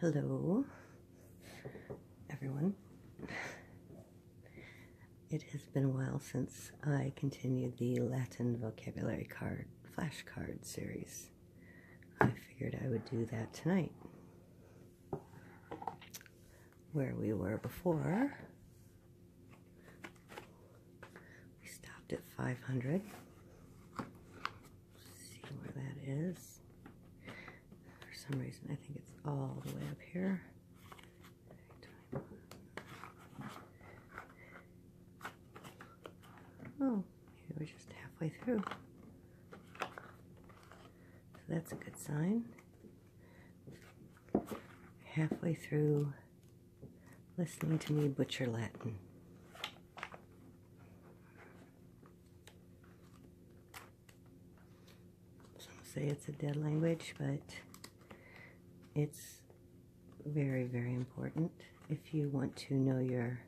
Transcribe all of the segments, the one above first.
Hello, everyone. It has been a while since I continued the Latin vocabulary card flashcard series. I figured I would do that tonight. Where we were before, we stopped at 500 see where that is. For some reason, I think it's all the way up here. Oh, we're just halfway through. So that's a good sign. Halfway through listening to me butcher Latin. Some say it's a dead language, but it's very, very important if you want to know your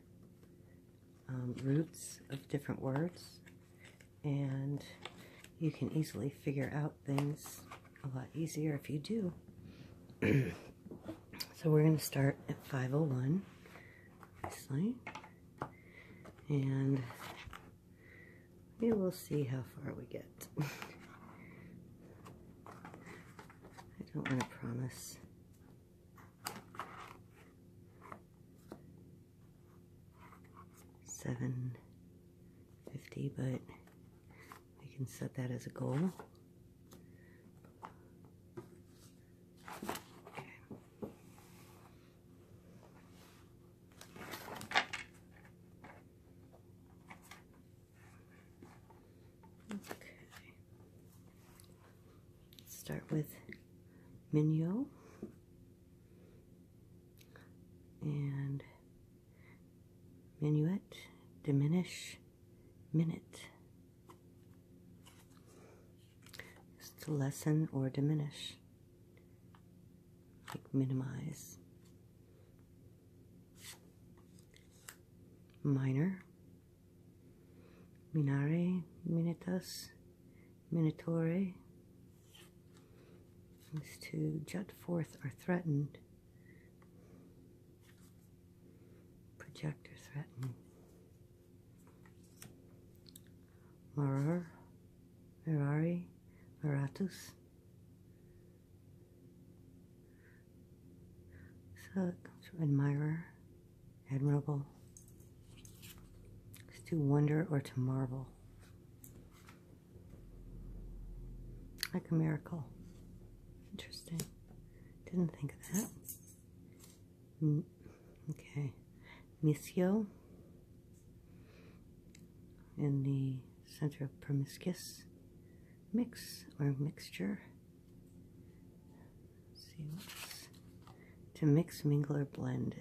um, roots of different words. And you can easily figure out things a lot easier if you do. so we're going to start at 501. And we will see how far we get. I don't want to promise. Seven fifty, but we can set that as a goal. Okay. Okay. start with Mignot and Minuet, diminish, minute to lessen or diminish, like minimize. Minor, minare, minitas, minitore, is to jut forth or threaten, project or threaten. Marar, Merari, Maratus. So to admire, admirable. to wonder or to marvel. Like a miracle. Interesting. Didn't think of that. Mm, okay, Misio in the center of promiscuous mix or mixture. see to mix, mingle, or blend.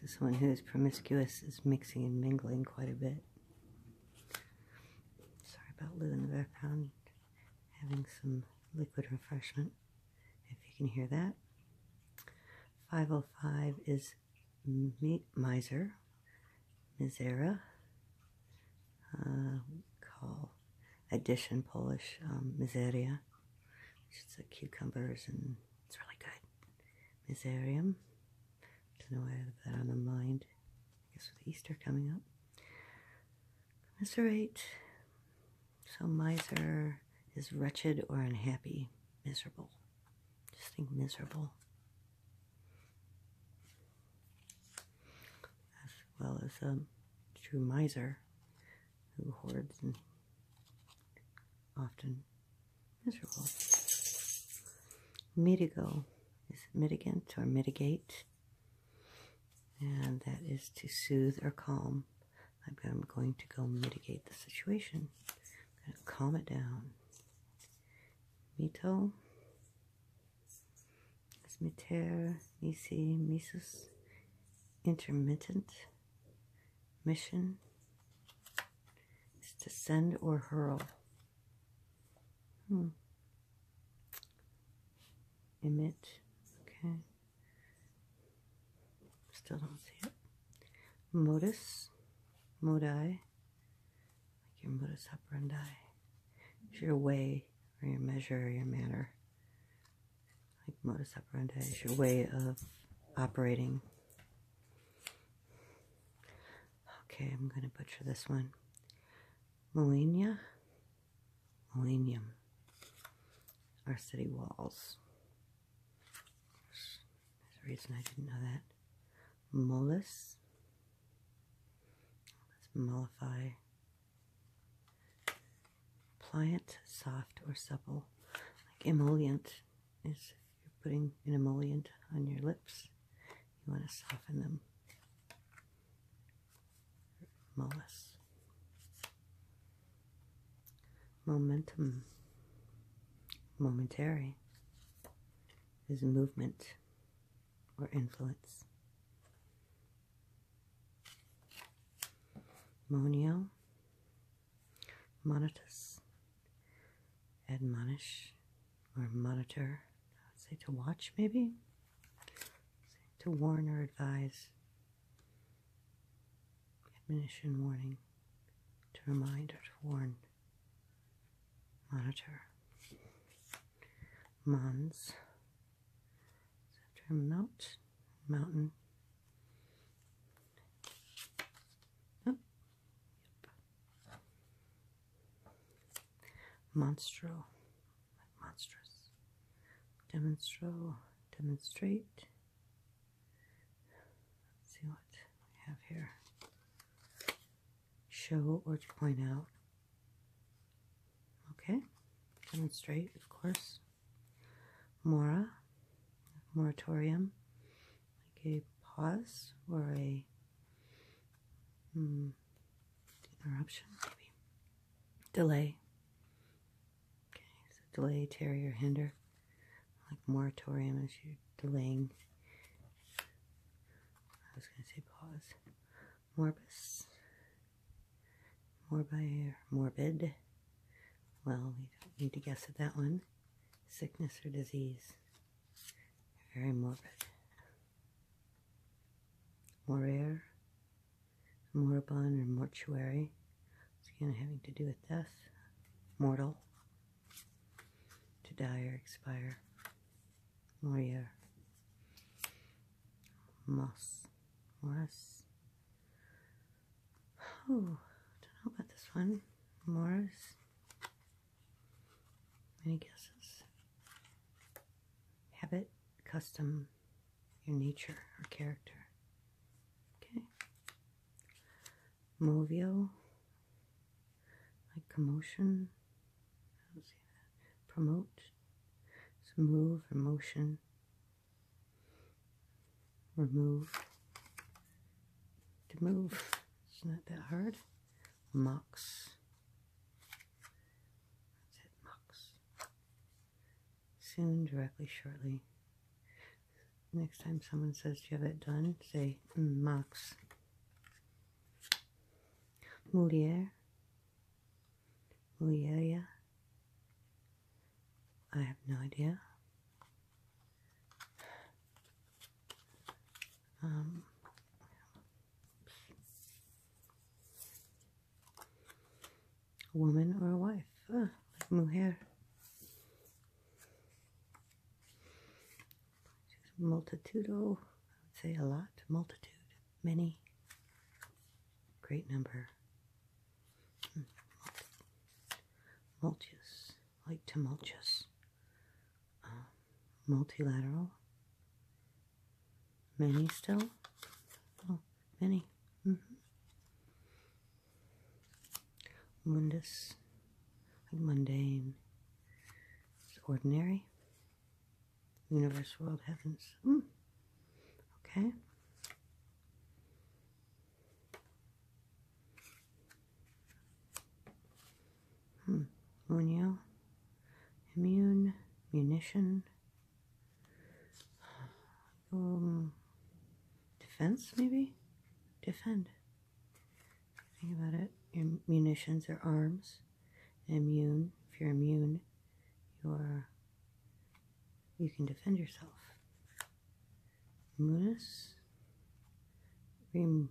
this one who is promiscuous is mixing and mingling quite a bit. Sorry about Lou in the background having some liquid refreshment if you can hear that. 505 is miser, misera, uh, call addition Polish, um, miseria, It's like cucumbers, and it's really good. Miserium, don't know why I have that on the mind, I guess with Easter coming up. Commiserate so miser is wretched or unhappy, miserable. Just think miserable. As well as a um, true miser who hoards and often miserable. Mitigo is mitigant or mitigate. And that is to soothe or calm. I'm going to go mitigate the situation. I'm going to calm it down. Mito, Smiter, Nisi, Mises, Intermittent, Mission, is to send or hurl. Hmm. Emit, okay. Still don't see it. Modus, modi, like your modus operandi. It's your way or your measure or your manner. Like modus operandi is your way of operating. Okay, I'm going to butcher this one. Molina, millennium, our city walls. There's a reason I didn't know that. Molus. Let's mollify. Pliant, soft, or supple. Like emollient is if you're putting an emollient on your lips, you want to soften them. Mollis. Momentum, momentary, is movement or influence. Monio, monitus, admonish, or monitor, I would say to watch maybe, to warn or advise, Admonition warning to remind or to warn. Monitor. Mons. mount, mountain. Monstro monstrous. Demonstro, demonstrate. Let's see what we have here. Show or point out. Okay, demonstrate, of course. Mora, moratorium, like a pause or a mm, interruption, maybe. Delay, Okay, so delay, tarry, hinder. Like moratorium is you delaying. I was going to say pause. Morbus. Morbi morbid. Well, we don't need to guess at that one. Sickness or disease. Very morbid. More Moraire moribund or mortuary. It's again having to do with death, mortal, to die or expire, moria, moss, morris. Oh, don't know about this one. Morris. Any guesses? Habit, custom, your nature or character. Okay. Movio, like commotion. Promote, move or motion. Remove, to move. It's not that hard. Mux. That's it, mux soon, directly, shortly. Next time someone says, Do you have it done? Say, mm, Max. Moliere. Mulieria. I have no idea. Um, a woman or a wife, ah, like I would say a lot, multitude, many, great number. Hmm. like tumultuous, um, multilateral, Many still? Oh, many. Mm-hmm. Mundus, mundane. It's ordinary. Universe, world, heavens. Mm. Okay. Hmm. Munio. Immune. Munition. Um, defense, maybe? Defend. Think about it. Your munitions are arms. Immune. If you're immune, you're you can defend yourself. Munis. Rem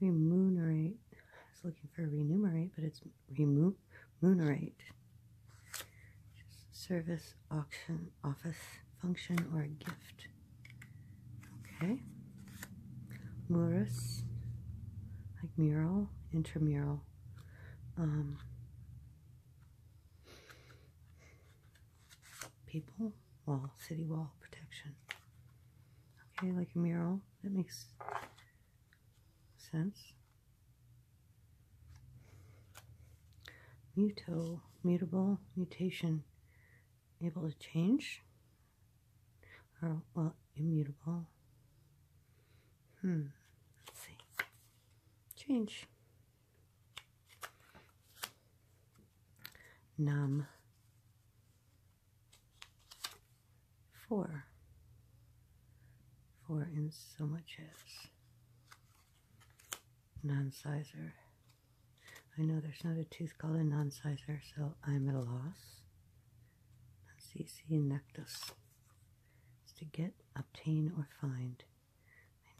remunerate. I was looking for remunerate, but it's Remove remunerate. Service, auction, office, function, or a gift. Okay. Murus, like mural, intramural. Um, people, wall, city wall, protection. Okay, like a mural. That makes sense. mutable, mutation, able to change, or well, immutable. Hmm, let's see. Change. Numb. Four for in so much as non-sizer. I know there's not a tooth called a non-sizer, so I'm at a loss. CC Nectus. to get, obtain, or find.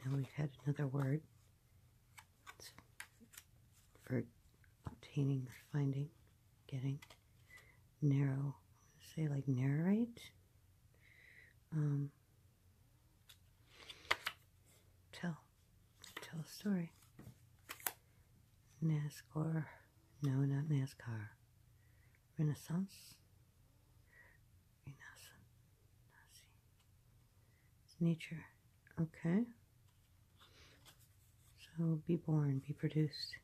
I know we've had another word for obtaining, finding, getting. Narrow. say like narrate um, tell tell a story. NASCAR, no, not NASCAR. Renaissance, Renaissance, it's nature. Okay. So be born, be produced.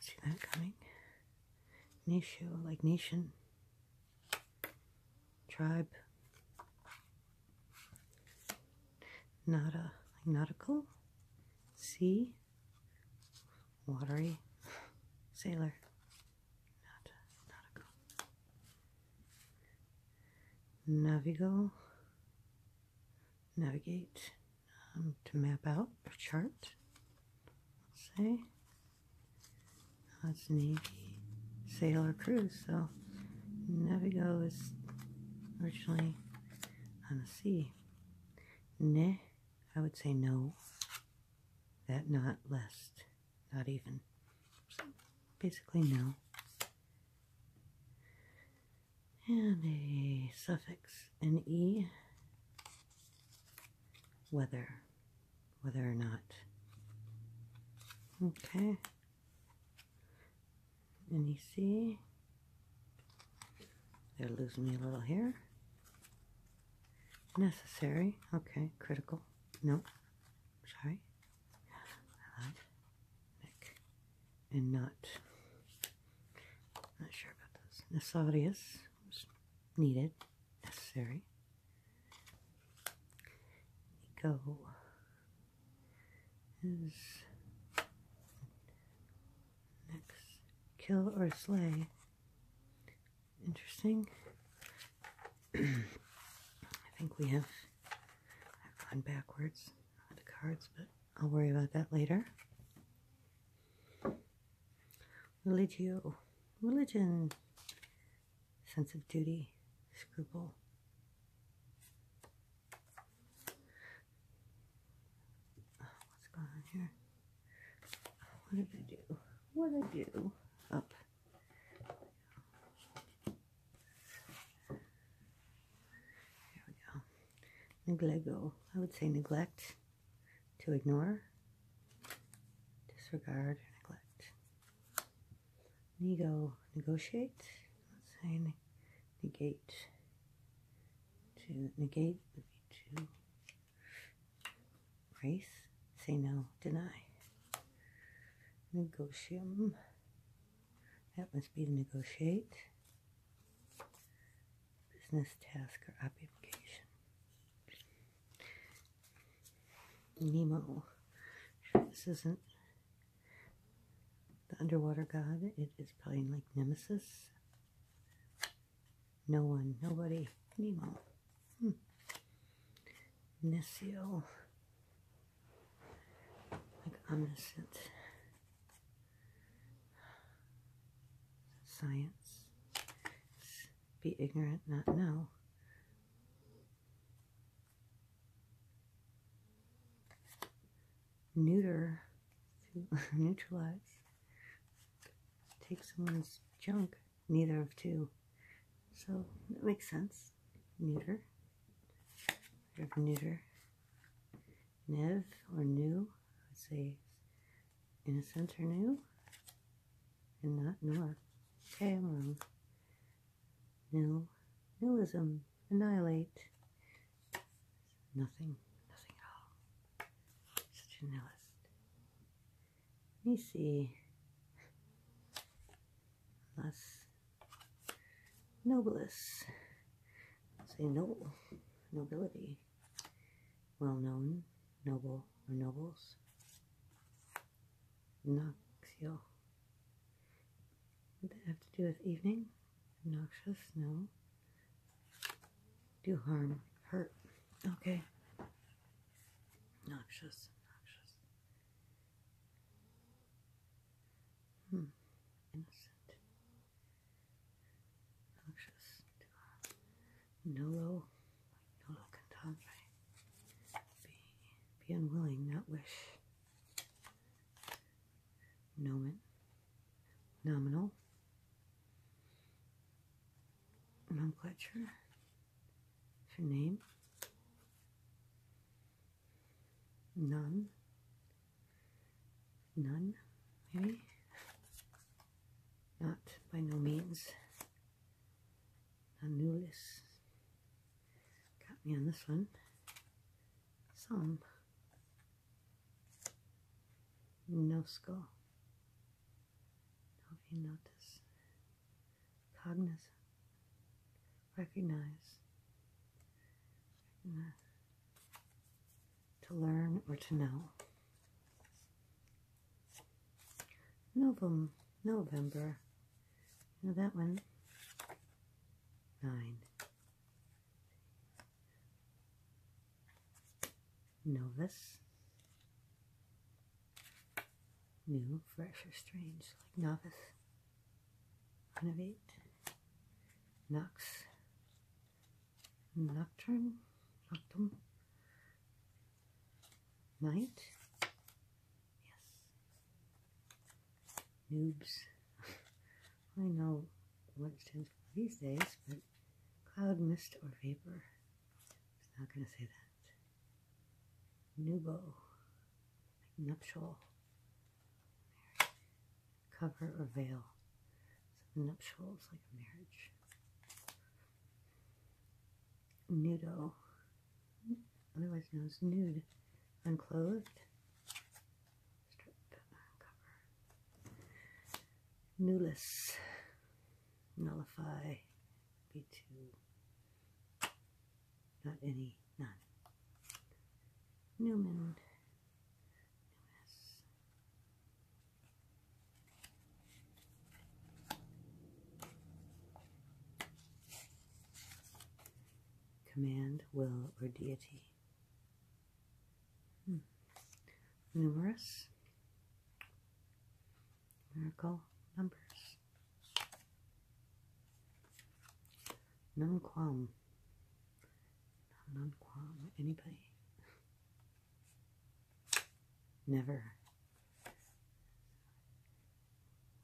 See that coming? Nation, like nation, tribe, nada, nautical, sea, watery, sailor, not nautical, navigo, navigate. Um, to map out a chart. Let's say that's Navy Sailor Cruise. So Navigo is originally on the sea. Ne, I would say no. That not lest, not even. So basically no. And a suffix, an e, whether whether or not okay and you see they're losing me a little here necessary okay critical no sorry I lied and not not sure about those Nesaudius needed, necessary. Go is next kill or slay. Interesting. I think we have gone backwards on the cards, but I'll worry about that later. Religio, religion, sense of duty, scruple. what's going on here? What did I do? What did I do? Up. There we go. Neglego. I would say neglect to ignore, disregard, neglect. Nego, negotiate. Let's say negate. To negate to race, say no, deny. Negotium. That must be to negotiate business task or application. Nemo. this isn't the underwater god. It is playing like Nemesis. No one, nobody. Nemo. Hmm. Like omniscient. Science. Be ignorant, not know. Neuter, neutralize. Take someone's junk. Neither of two. So that makes sense. Neuter. Neuter. Nev or new. I would say Innocents are new and not north. Okay, I'm wrong. Nil, nihilism, annihilate. Nothing, nothing at all. Such a nihilist. Let me see. Less nobilis. Say noble, nobility well known noble or nobles. Noxial. What that have to do with evening? Noxious? No. Do harm. Hurt. Okay. Noxious. Noxious. Hmm. Innocent. I'll nolo, nolo cantandre. Be, be unwilling, not wish. Nomen, nominal, nomenclature, it's name, none, none, maybe not by no means I knew this got me on this one some no skull no you notice cognizant recognize recognize to learn or to know. Novum, November. You know that one? Nine. Novus. New, fresh, or strange, like novice. One of eight. Knox. Nocturne, Noctum, Night, yes, Noobs, I know what it stands for these days, but cloud, mist, or vapor, it's not going to say that, Nubo, Nuptial, cover or veil nuptials, like a marriage. Nudo, otherwise known as nude, unclothed, stripped, uncover. Nullis, nullify, be to, not any, none. Newman, Command, will, or deity. Hmm. Numerous miracle numbers. Nunquam. Nunquam. Anybody? Never.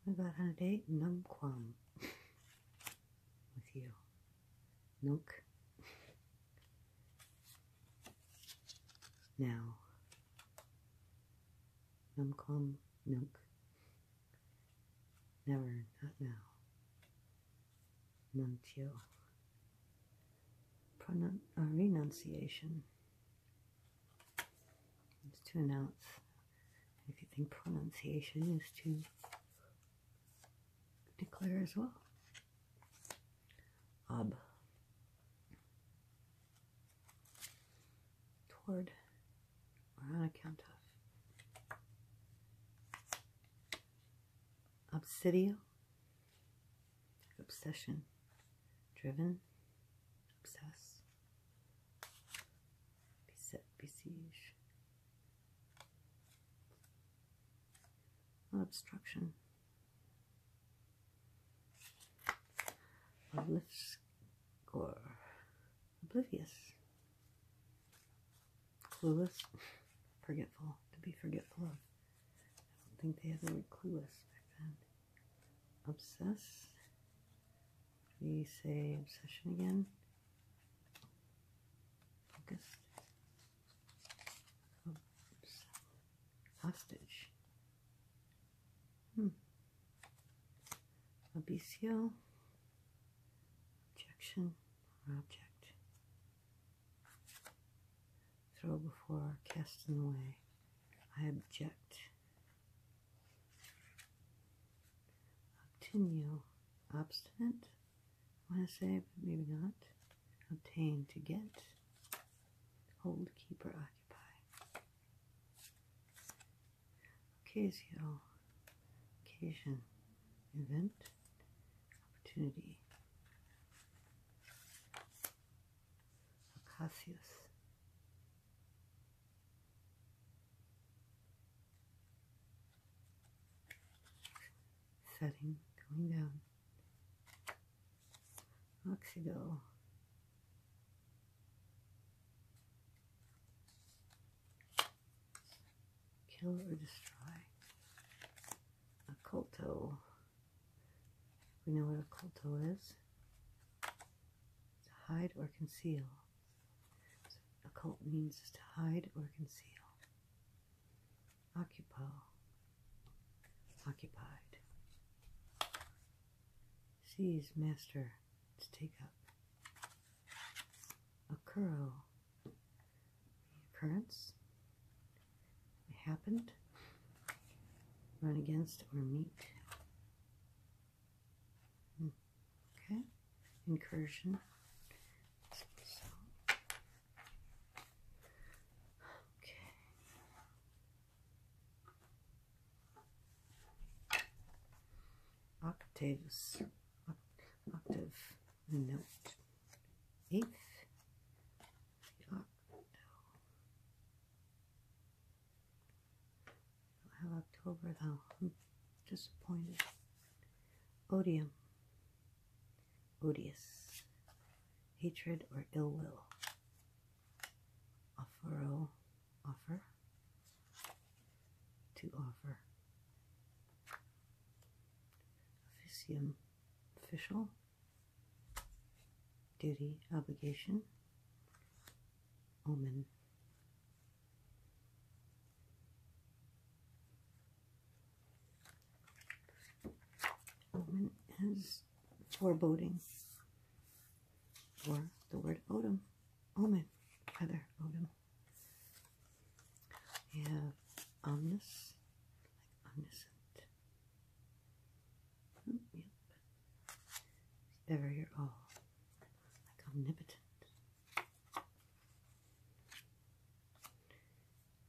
What about on a date? Numquam. With you. Nunk. Now. Numquam. Nunk. Never. Not now. Nuncio. Pronun uh, renunciation is to announce. If you think pronunciation is to declare as well. Ob. Toward or on account of. Obsidio obsession, driven, obsess, beset, besieged, obstruction, oh, obliscore, oblivious, clueless, forgetful, to be forgetful I don't think they had ever were clueless back then. Obsess. We say obsession again. Focused. Oops. Hostage. Hmm. Obesio. Objection object. Throw before casting away. I object. Obtenu, obstinate. I want to say, but maybe not. Obtain, to get. Hold, keeper occupy. Occasional, occasion, event, opportunity. Acacias. Setting, going down. Oxydol. Kill or destroy. Occulto. We know what a culto is. to hide or conceal. So occult means to hide or conceal. Occupo. Occupied. Seize, master. To take up. Occuro occurrence. It happened. Run against or meet. Hmm. Okay. Incursion. Okay. Octaves, octave note, eighth, have October though. disappointed. Odium. Odious. Hatred or ill will. Offero. Oh, offer. To offer. Officium. Official duty, obligation, omen. Omen is foreboding, or the word odom, omen, rather, odom. We have omnis, omniscient, Oh, ever your Oh, like omnipotent.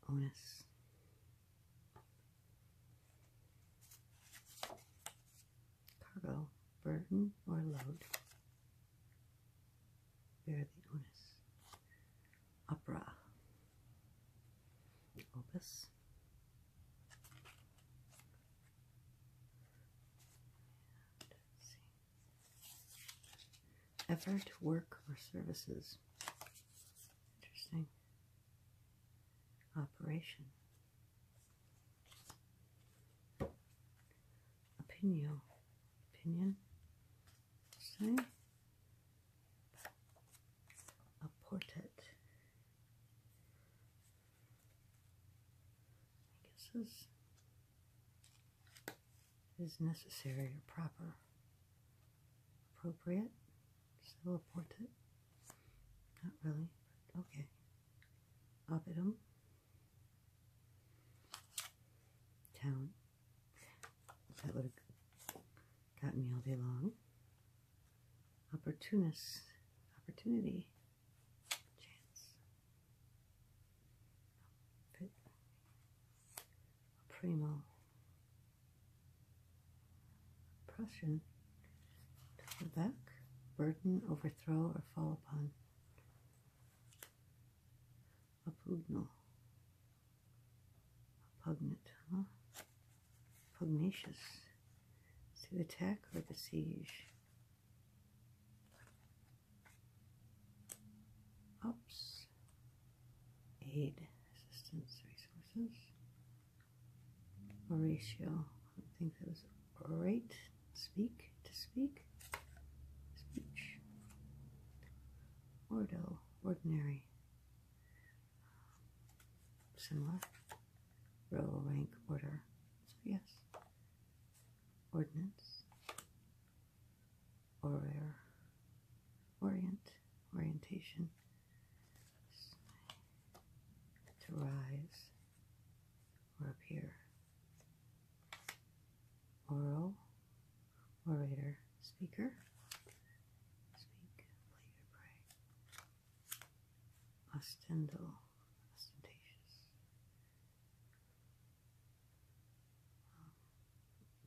Onus. Cargo, burden, or load. Bear the onus opera opus effort work or services interesting operation opinion opinion so, a portrait. I guess this is necessary or proper, appropriate. Still a portrait. Not really, okay. Oppidum. Town. That would got me all day long. Opportunist, opportunity, chance, primo, Prussian, to back, burden, overthrow, or fall upon. Apugno, Pugnant, huh? Pugnacious. To the attack or the siege? Oops. Aid, assistance, resources. Oratio. I think that was right. Speak, to speak. Speech. Ordo, ordinary. Similar. Row, rank, order. So, yes. Ordinance. Order. Orient. Orientation. To rise or appear. Oral. Orator. Speaker. Speak, pray. Ostendal. Ostentatious.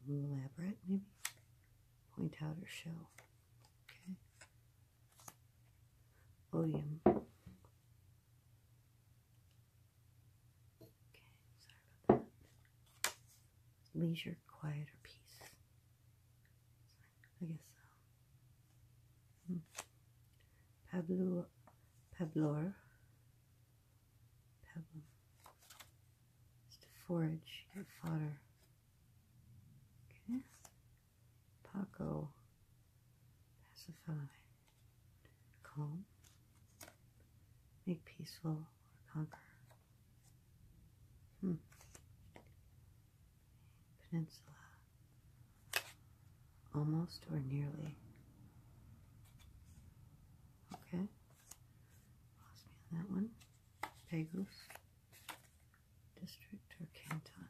Um, elaborate, maybe. Point out or show. Okay. Odium. Okay, sorry about that leisure, quiet, or peace. I guess so. Hmm. Pablo, Pablor, Pablo, it's to forage, get fodder. Okay. Paco, pacify, calm, make peaceful, conquer. Hmm. Peninsula. Almost or nearly. Okay. Lost me on that one. Pegus. District or canton.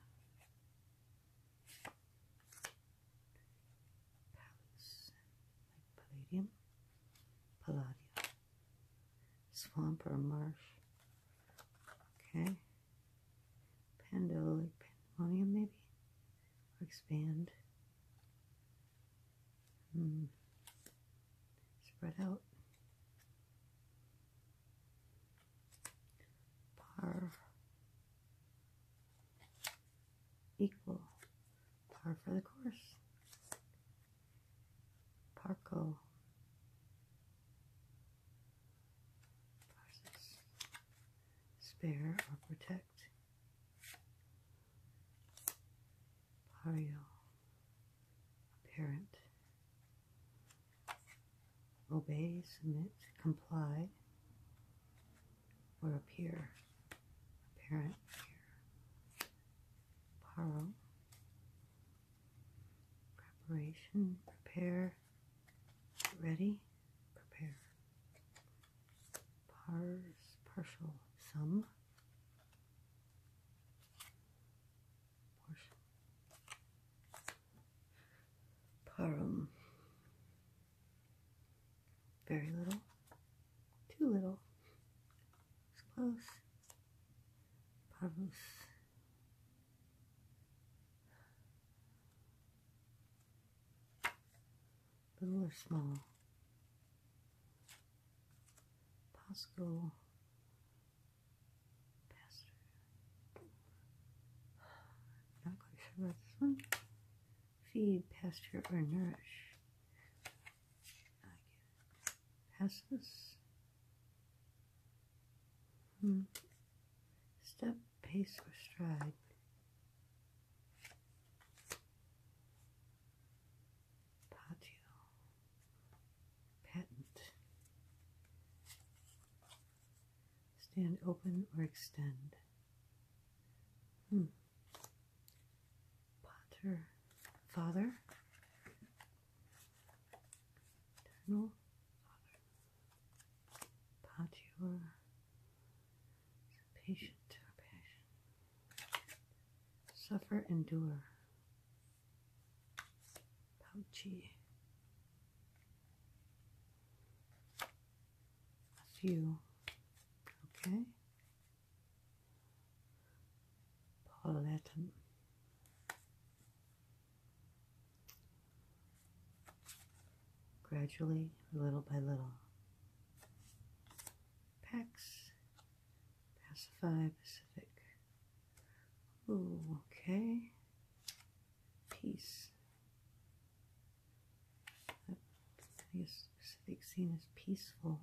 Palace. palladium. Palladium swamp or marsh. Okay. Pandolic pandemonium, maybe? expand. Hmm. Spread out. Par. Equal. Par for the course. Parko, Spare or protect. Pario. Apparent. Obey, submit, comply, or appear. Parent, appear. Paro. Preparation, prepare, ready, prepare. Pars, partial, sum, portion. Parum. Very little, too little, it's close. Parvus. Little or small. Pascal. Pastor. Not quite sure about this one. Feed, pasture, or nourish. I get it passes. Hmm. Step, pace, or stride. Patio. Patent. Stand open or extend. Hmm. Potter. Father. Eternal Father, Patio, patient suffer, endure, Pouchy, a few, okay. Palatum. Gradually, little by little. Pax. Pacify Pacific. Ooh, okay. Peace. This Pacific scene is peaceful.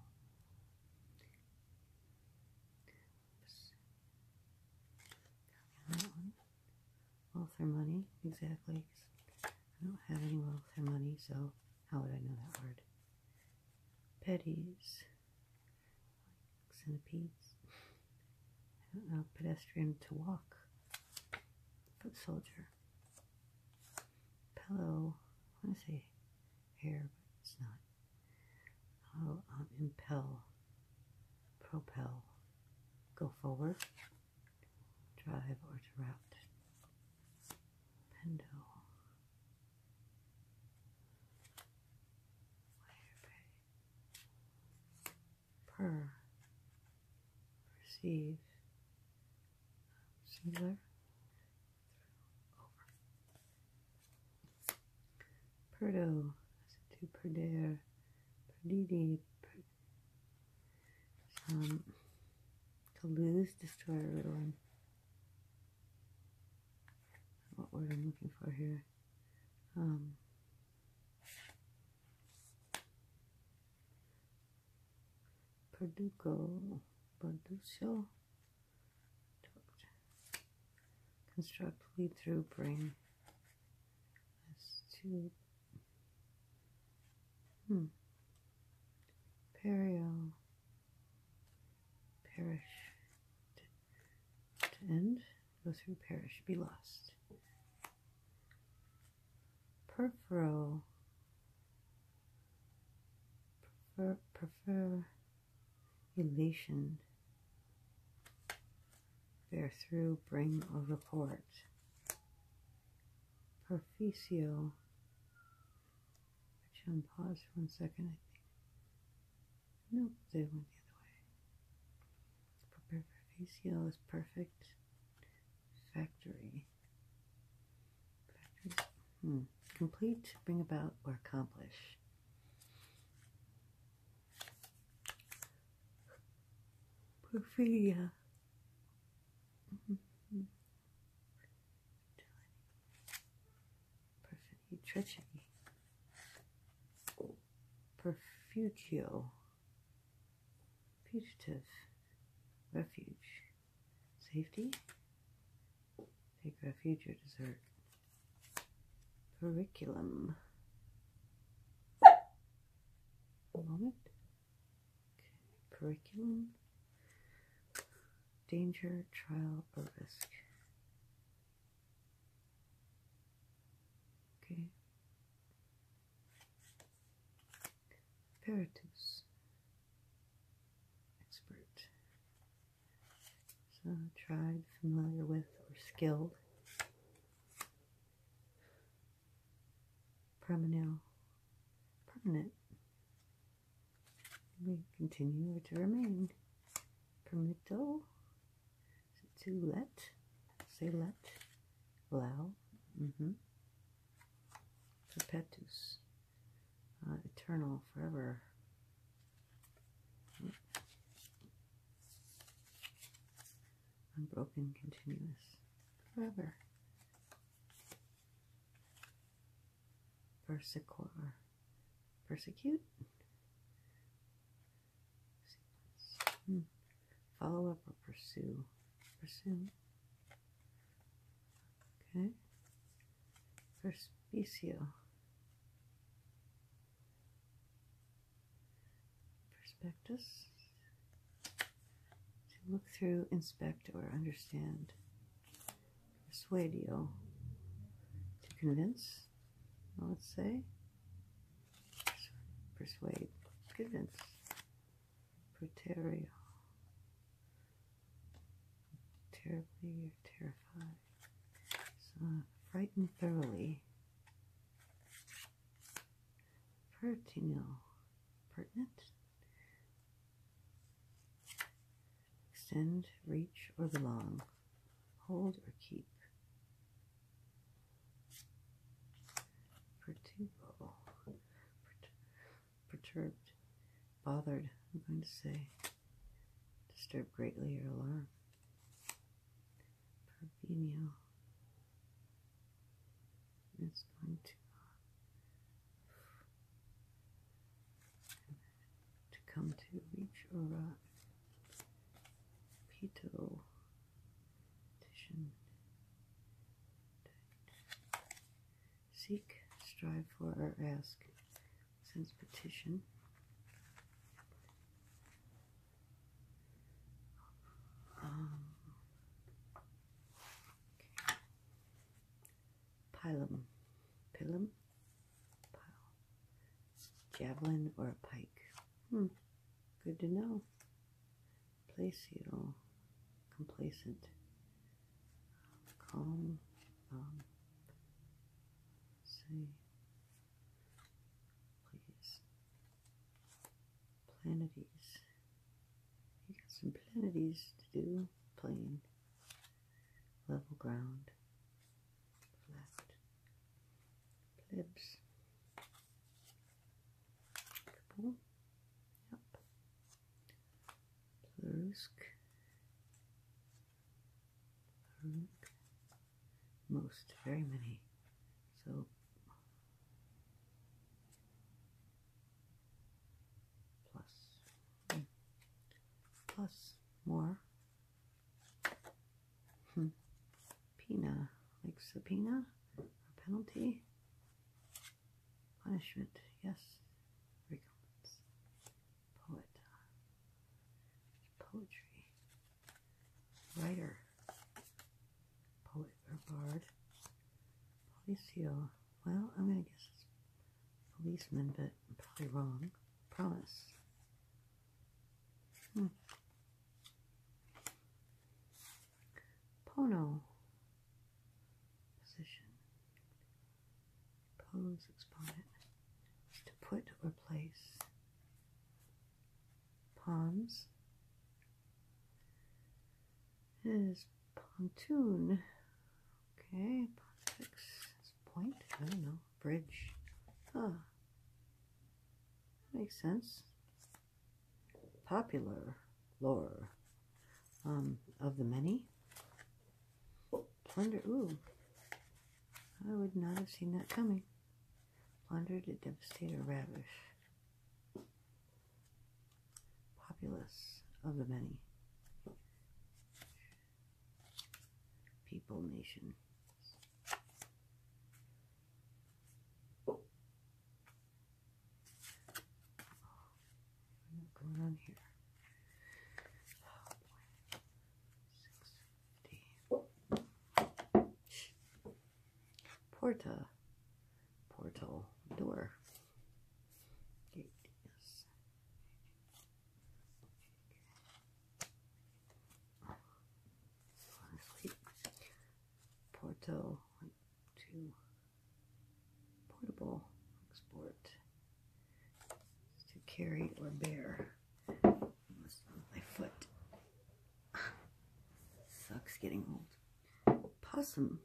Wealth or money, exactly. I don't have any wealth or money, so how would I know that word? Petties, centipedes. I don't know, pedestrian to walk, foot soldier, pillow. I want to say hair, but it's not. I'll um, impel, propel, go forward, drive or to route. Pendo. Per. Perceive. Singular. Perdo, to Perdere, Perdidi, per, um, Toulouse, destroy ruin. What word I'm looking for here? Um, Perdugo, Perduccio, Construct lead through brain. as to Hmm. Perio. Perish. To, end. Go through perish. Be lost. Perforo. Prefer. prefer elation. Bear through, bring a report. Perficio. Actually, on pause for one second, I think. Nope, they went the other way. Perficio is perfect. Factory. Factory. Hmm. Complete, bring about, or accomplish. Porphyria. Perfidy, treachery. Perfugio. Fugitive. Refuge. Safety. Make refuge or desert. Curriculum. A moment. Okay. Curriculum. Danger, trial, or risk. Okay. Peritus. Expert. So tried, familiar with, or skilled. Permanent. Permanent. We continue to remain. Permito. To let. Say let. Allow. Mm -hmm. Perpetus. Uh, eternal. Forever. Unbroken, continuous, forever. Persecor, persecute. Hmm. Follow up or pursue, pursue. Okay. Perspicio. Prospectus. To look through, inspect, or understand. Persuadio. To convince, let's say. Persuade. Convince. Proterio. Terribly, terrified. So frightened thoroughly. Pertinal. Pertinent. Extend, reach, or belong. Hold or keep. Perturbo. Perturbed. Bothered, I'm going to say disturb greatly or alarm. Perpignan is going to uh, to come to reach or uh, Seek, strive for, or ask since petition. Um, pilum, pilum, javelin or a pike. Hmm, good to know. Placial, complacent, calm, um, see, please, Planetes. You got some Planetes to do. Plane, level ground, flat, plebs. Couple. Yep. Plusk most, very many. So plus, plus more. Hmm. Pena, like subpoena a penalty, punishment, yes, recompense poet, poetry, writer, poet or bard, policio. Well, I'm gonna guess it's policeman, but I'm probably wrong. Promise. Hmm. Pono. Position. Pose exponent is to put or place palms. Is pontoon. Okay, pontifex point. I don't know. Bridge. Huh. Makes sense. Popular lore um, of the many. Plunder. Ooh. I would not have seen that coming. Plunder to devastate or ravish. Populace of the many. People, nation. What's going on here? Oh, 50. Porta. Portal. Door. Yes. Porto. Two. Portable. Export. To carry or bear. My foot sucks getting old. Possum.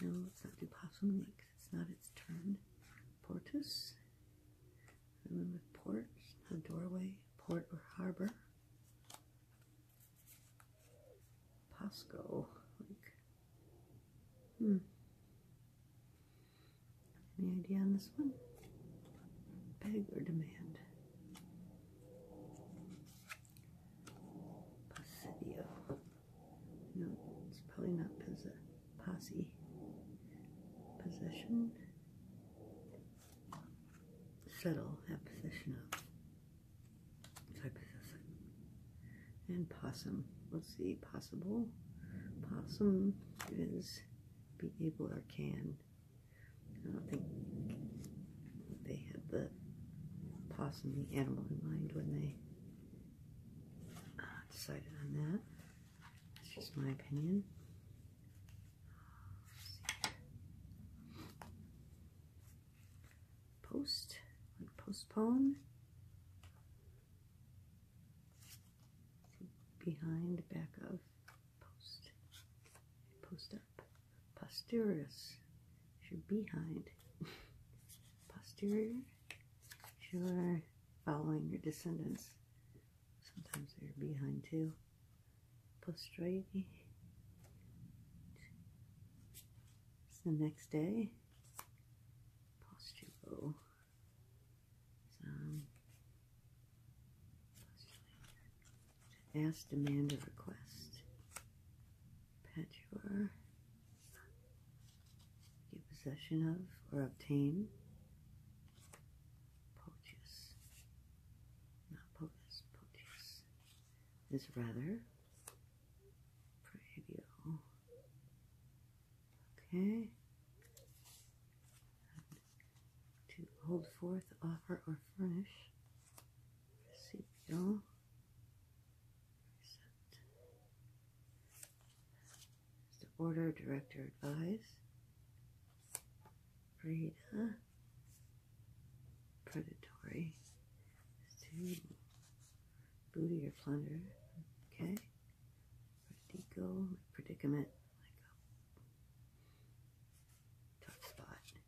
No, it's not do possum It's not its turn. Portus. Remember port, not doorway, port or harbor. Pasco. Like, hmm. Any idea on this one? Peg or demand? Posidio. No, it's probably not pos posse. Possession. Settle. Have possession of. So I and possum. Let's see, possible. Possum is be able or can. I don't think they had the possum, the animal in mind when they uh, decided on that. That's just my opinion. Post, like postpone behind back of post post up should be behind posterior you're following your descendants sometimes they're behind too postrate it's the next day postulo ask, demand, or request. Perpetuar. Get possession of or obtain. Potius. Not potus, potius. Is rather. Preview. Okay. To hold forth, offer, or furnish. Recipio. To order, director, advise. Frida. Predatory. To booty or plunder. Okay. Where My predicament. Like a tough spot.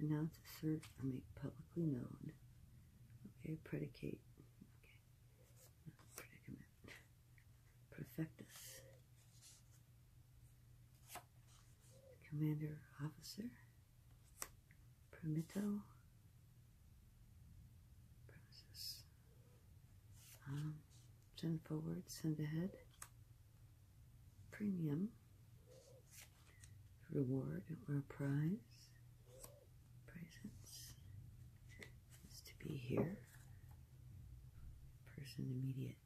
Announce, assert, or make publicly known. Okay, predicate. Okay. Predicament. Perfectus. Commander, officer. Permitto. Premises. Um, send forward, send ahead, premium, reward or prize, presence is to be here, person immediate,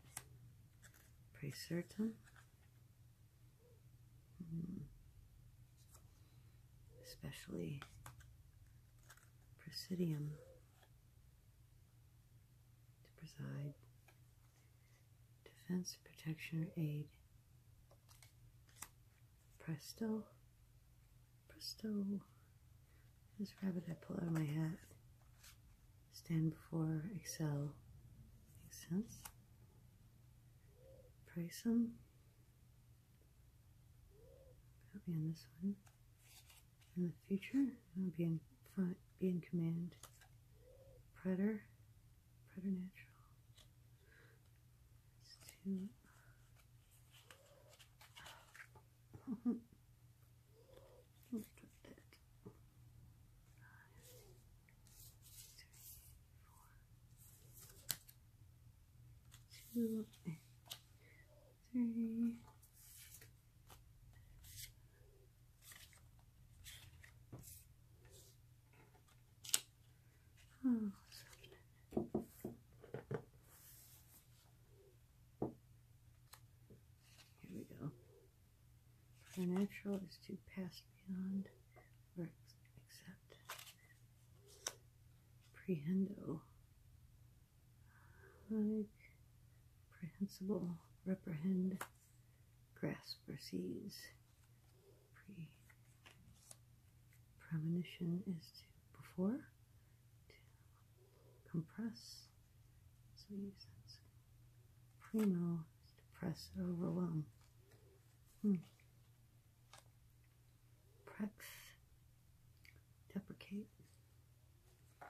Present certain, hmm especially Presidium to preside, defense, protection, or aid. Presto, presto, this rabbit I pull out of my hat. Stand before, excel. Makes sense. Praise him be on this one. In the future, I'll be in front, be in command. Predator, preternatural. It's 2 three, oh, Here we go. For natural is to pass beyond or accept prehendo, like prehensible, reprehend, grasp or seize. Pre premonition is to before, compress. So we use that. Primo is to press overwhelm. Hmm. Prex, deprecate. Uh,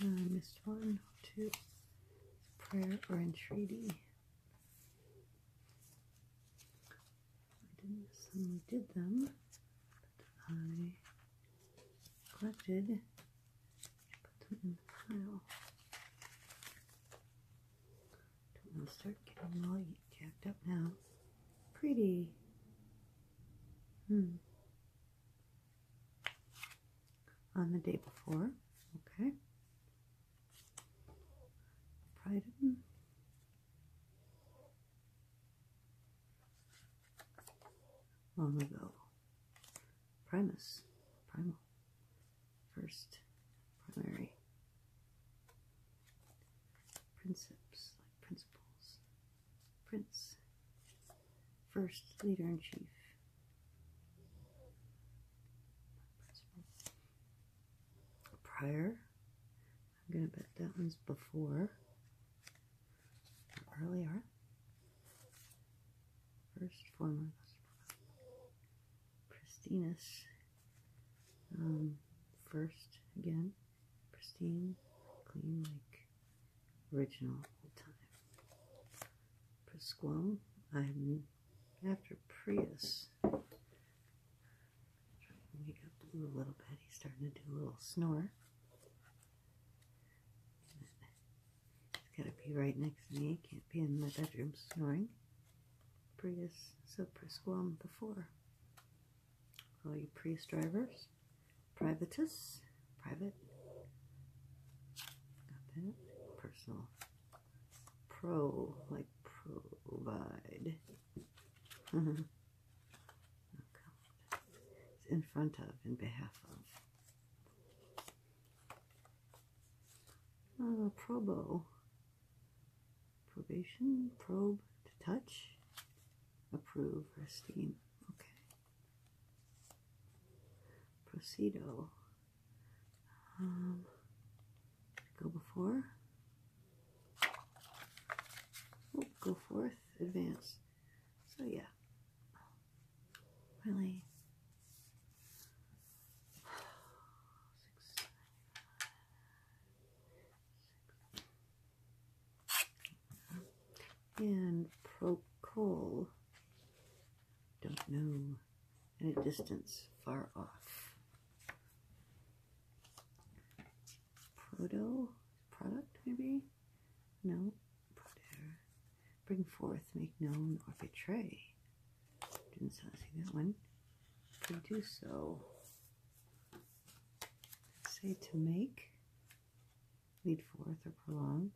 I missed one, two, prayer or entreaty. I didn't miss suddenly did them, but I collected, put them in the pile. Don't want to start getting all jacked up now. Pretty. Hmm. On the day before, okay. Pride them long ago. Primus, primal, first, primary, principes, principles, prince, first, leader in chief. Prior, I'm gonna bet that one's before earlier. First former Christinus. Um, first again, pristine, clean, like original time. Pasquale, I'm after Prius. Trying to wake up Blue a little bit. He's starting to do a little snore. It's gotta be right next to me. It can't be in my bedroom snoring. Prius Sopra Squam before. All you Prius drivers, privatus, private, got that, personal, pro, like provide. It's in front of, in behalf of. Uh, probe, Probation, probe, to touch, approve, or esteem. Okay. Procedo. Um, go before. go forth, advance. So yeah, really. and Procol, don't know, at a distance far off. Proto product, maybe? No, Bring forth, make known, or betray. Didn't see that one. Could do so. Say to make, lead forth, or prolong.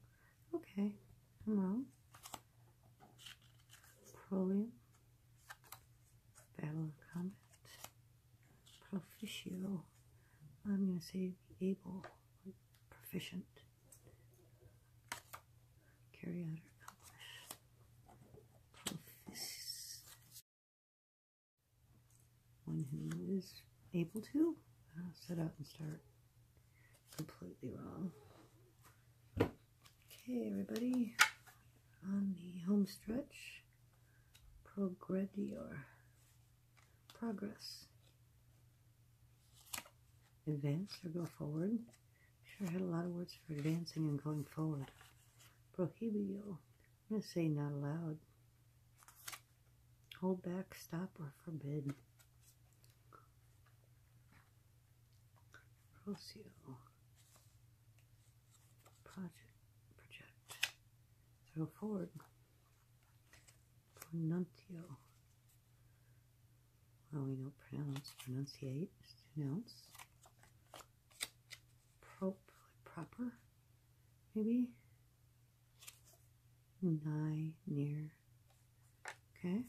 Okay, I'm wrong. Prolium, battle of combat, proficio, I'm going to say able, proficient, carry out or accomplish, Profic one who is able to uh, set out and start completely wrong. Okay, everybody, on the home stretch, progredior progress. Advance or go forward. Sure had a lot of words for advancing and going forward. Prohibio. I'm going to say not allowed. Hold back, stop, or forbid. Procio. Project. Project. Throw forward. Pronuncio. Well, we know pronounce, pronunciate, pronounce. Prop, like proper, maybe. Nigh, near. Okay.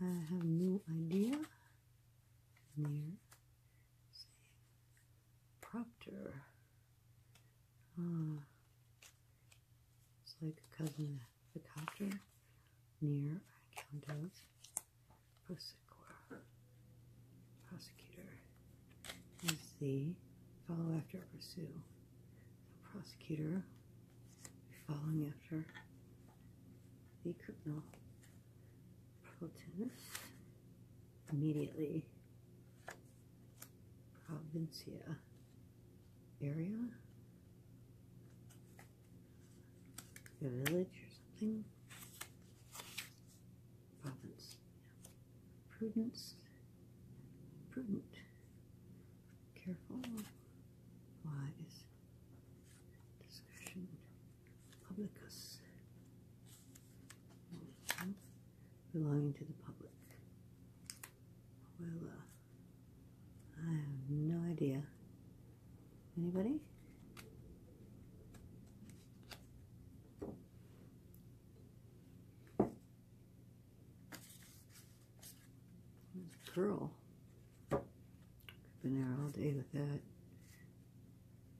I have no idea. Near. Proctor. Ah. it's like a cousin of the copter near Countess Prosecutor. Prosecutor is the follow after pursue. The prosecutor following after the criminal protagonist immediately Provincia area, a village or something. Province, yeah. prudence, prudent, careful, wise, discretion, publicus, belonging to the public. Well, uh, I have no idea. Anybody? Pearl. i been there all day with that.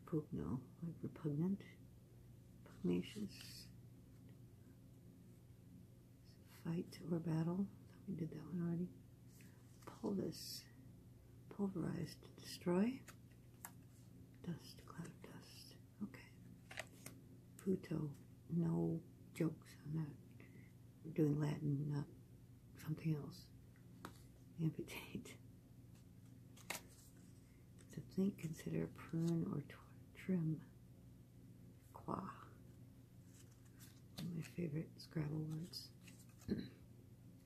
Pugno, like repugnant. Pugnacious. Fight or battle. We did that one already. Pulvis. Pulverized to destroy. Dust, cloud dust. Okay. Puto. No jokes on that. we doing Latin, not something else. Amputate. To think, consider prune or trim. Qua. my favorite Scrabble words.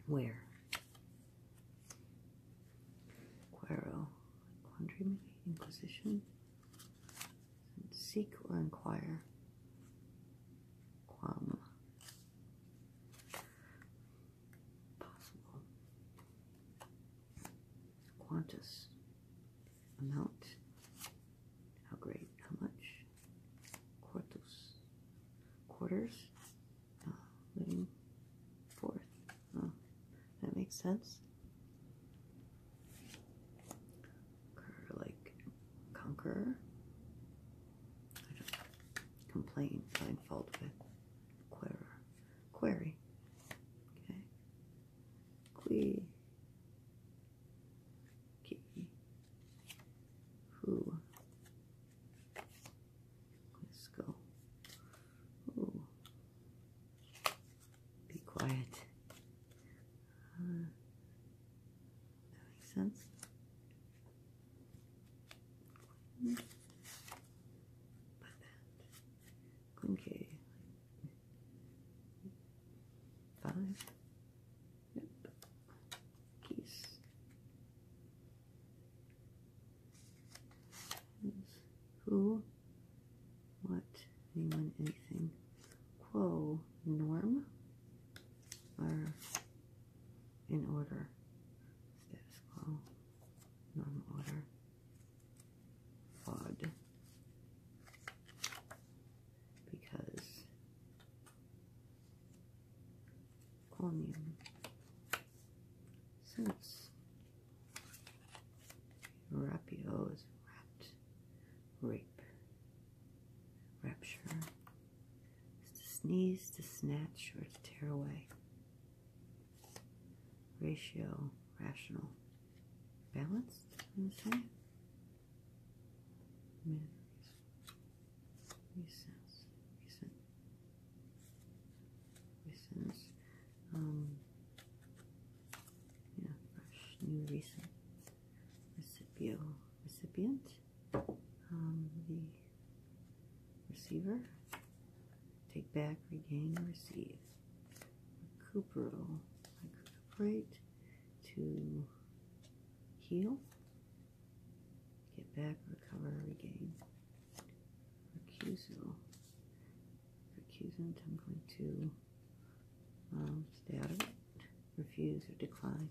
Where? Quero. Quandary, Inquisition? Seek or inquire. Quam possible Qantas amount. How great? How much? Quartus. Quarters? Uh, living fourth. that makes sense. like conqueror. complain, find fault with. Querer query. Okay. Que ki who let's go. Ooh. Be quiet. Uh, that makes sense. Okay. Five. Yep. Keys. Who? What? Anyone? Anything? Quo. Norm. Or in order. Status quo normal order, because chromium, since rapio is rape, rapture, to sneeze, to snatch, or to tear away ratio, rational, balanced. I'm going to recent, recent, um, yeah, fresh, new, recent, recipio, recipient, um, the Receiver. Take back, regain, receive. Recupero. Recuperate. To heal. Get back, recover, regain. Recusal. Recusant, I'm going to um, stay out of it. Refuse or decline.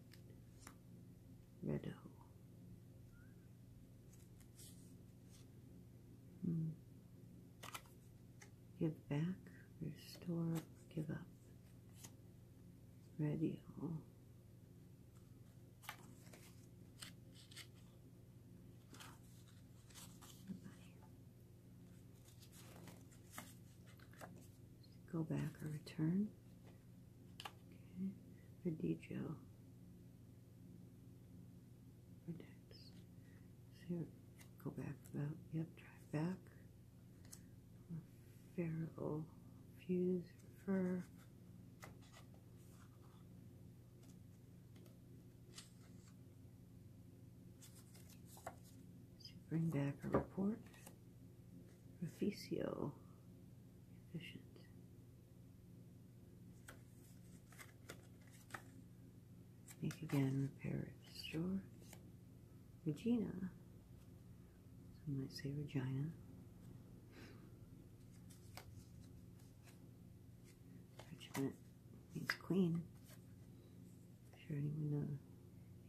Redo. Hmm. Give back, restore, give up. Ready? Go back or return. Okay. Radillo. Relax. So go back about, yep, drive back. Feral fuse refer. bring back a report. Reficio efficient. Make again Paris, George, Regina. Some might say Regina. Regiment means queen. I'm sure anyone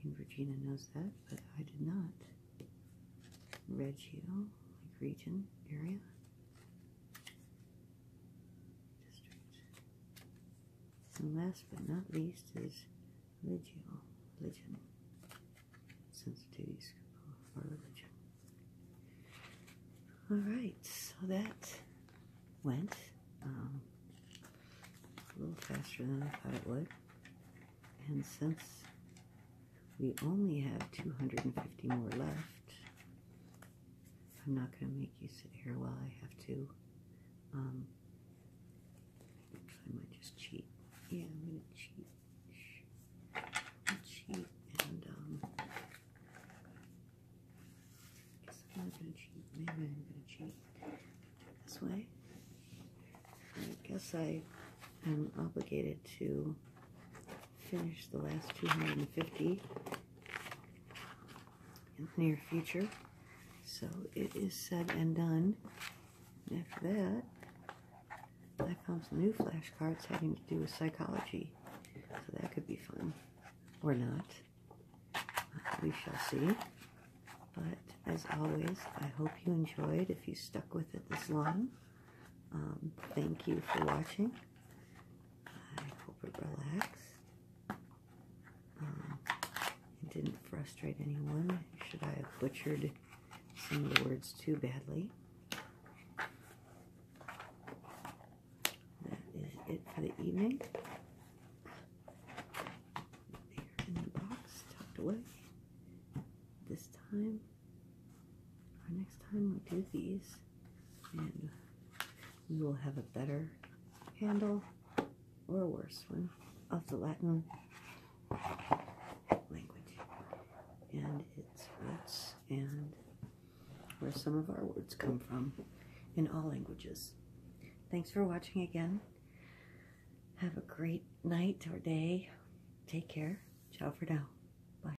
in Regina knows that, but I did not. Regio, like region, area district. And last but not least is religion, religion, sensitivities for religion. Alright, so that went um, a little faster than I thought it would. And since we only have 250 more left. I'm not going to make you sit here while I have to. Um, I might just cheat. Yeah, I'm going to cheat. cheat and, um, guess I'm not going to cheat. Maybe I'm going to cheat this way. I guess I am obligated to finish the last 250 in near future. So it is said and done. after that, I found some new flashcards having to do with psychology. So that could be fun. Or not. Uh, we shall see. But as always, I hope you enjoyed if you stuck with it this long. Um, thank you for watching. I hope it relaxed um, didn't frustrate anyone. Should I have butchered some of the words too badly? That is it for the evening. There in the box, tucked away. This time next time we do these, and we will have a better handle or a worse one of the Latin language and its roots and where some of our words come from in all languages. Thanks for watching again. Have a great night or day. Take care. Ciao for now. Bye.